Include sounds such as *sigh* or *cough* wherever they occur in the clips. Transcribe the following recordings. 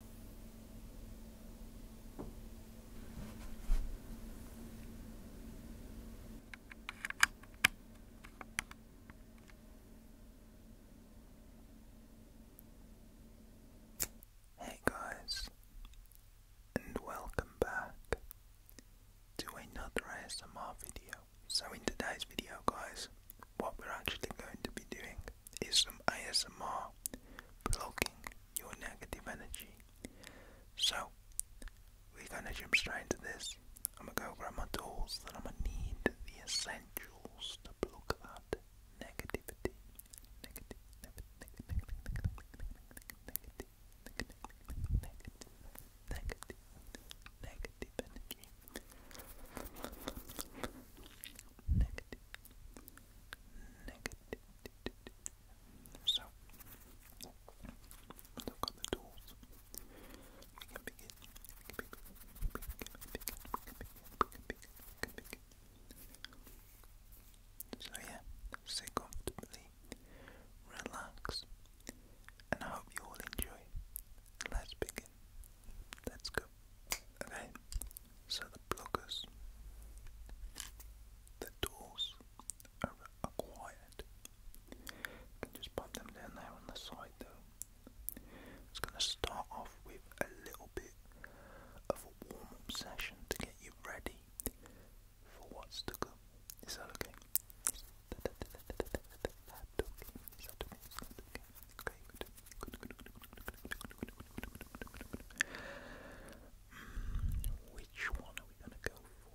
Hey guys, and welcome back to another ASMR video. So, in today's video, guys, what we're actually going to be doing like is some ASMR blocking your negative energy. So we're gonna jump straight into this. I'm gonna go grab my tools, that I'm gonna need the essentials to block that negativity. Negative, negative, negative, negative, negative, negative, negative, negative, negative energy negative. So, look at the tools. So yeah, sit comfortably, relax, and I hope you all enjoy. Let's begin. Let's go. Okay, so the bloggers, the doors are acquired. can just pop them down there on the side though. It's going to start off with a little bit of a warm session to get you ready for what's to come. Is that okay? okay? Mm, which one are we gonna go for?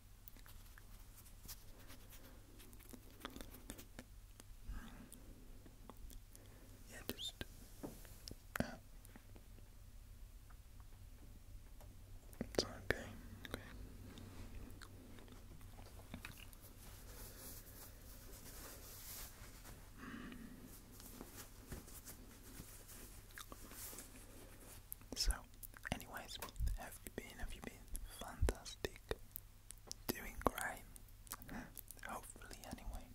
Yeah, just uh, it's Okay. So, anyways, have you been? Have you been fantastic? doing great. Hopefully, anyway.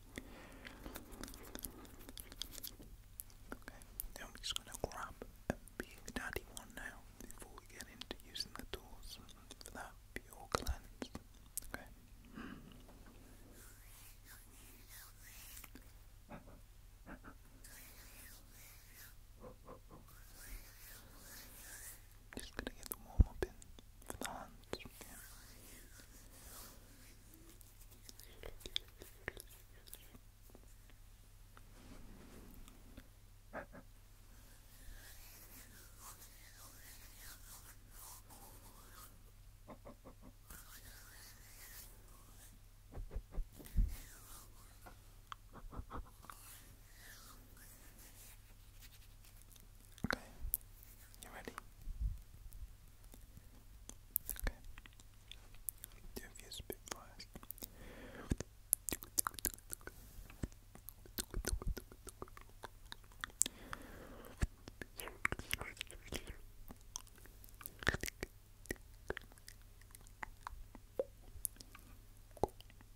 Okay, I'm just gonna grab a big daddy one now before we get into using the tools for that pure cleanse. Okay. *laughs* Just gonna get the warm up in for the hands. Okay, you ready? Okay, do a few spit fires.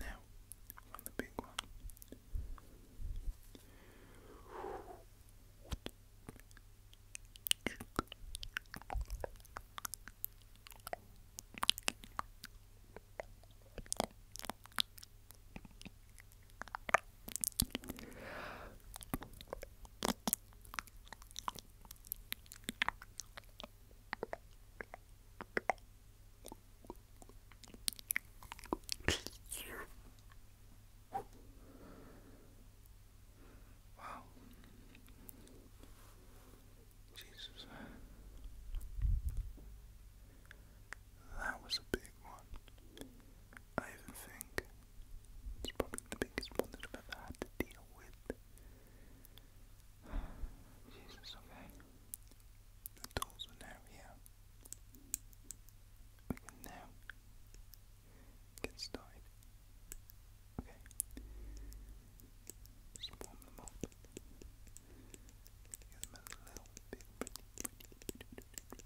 Now, on the big one. Wow. Jesus. That was a big one. I even think it's probably the biggest one that I've ever had to deal with. *sighs* Jesus, okay. The tools are now here. We can now get started. Okay. Just warm them up. Get them a little bit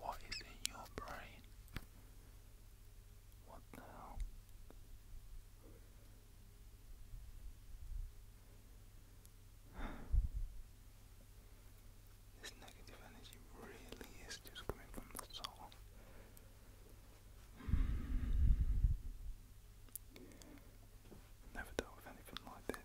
What is in your brain? What the hell? This negative energy really is just coming from the soul. I've never dealt with anything like this.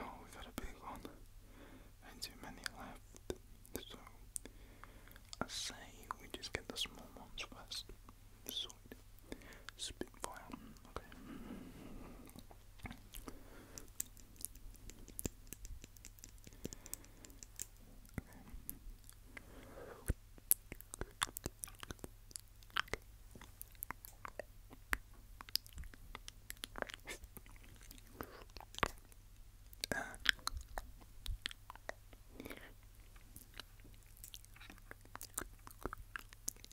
Oh, we got a big one and too many left, so I say we just get the small ones first. Sweet. Spitfire. Okay. Okay.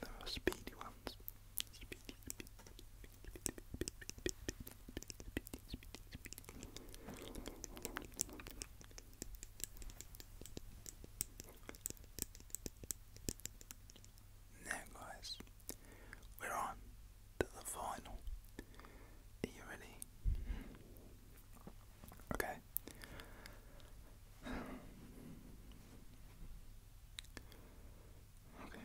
There are speedy ones. Now, guys, we're on to the final. Are you ready? Okay. Okay.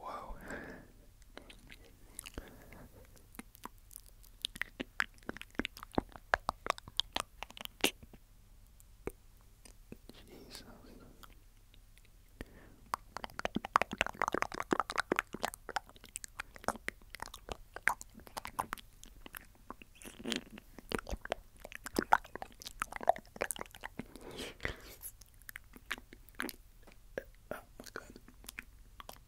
Whoa. Jesus. Oh my god.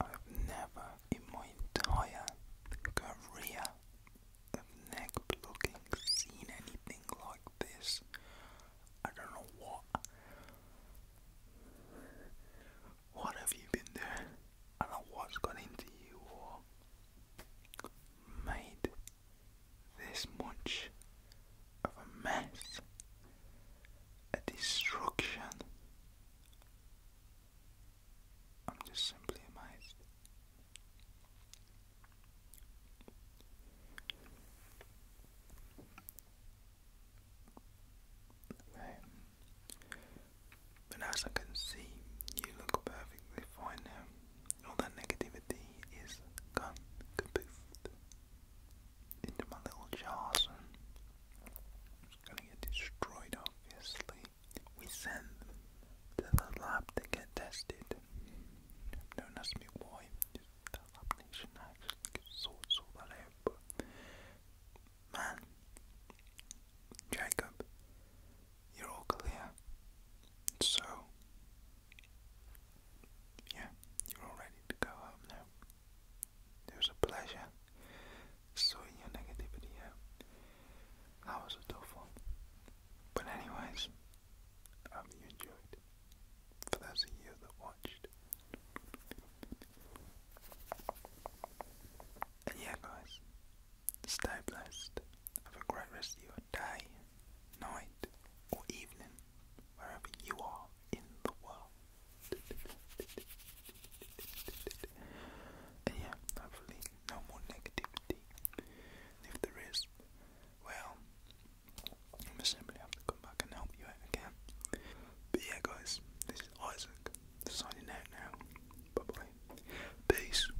I've never in my entire career of neck blocking seen anything like this. I don't know what. What have you been doing? I don't know what's got into you or made this much of a mess a destruction. I'm just simply amazed. But as I can see, you look perfectly fine now. All that negativity is gone, kapoofed into my little jars it's gonna get destroyed obviously. We send them to the lab to get tested. Don't ask me why, the lab nation actually sorts all that out, man, Jacob, you're all clear. So, yeah, you're all ready to go home now. It was a pleasure sorting your negativity That was a tough one. But anyways, I hope you enjoyed. For you that watched. yeah guys, stay blessed. Have a great rest of your day, night or evening, wherever you are in the world. And yeah, hopefully no more negativity. And if there is, well, I'm simply have to come back and help you again. But yeah, guys, this is Isaac signing out now. Bye bye. Peace.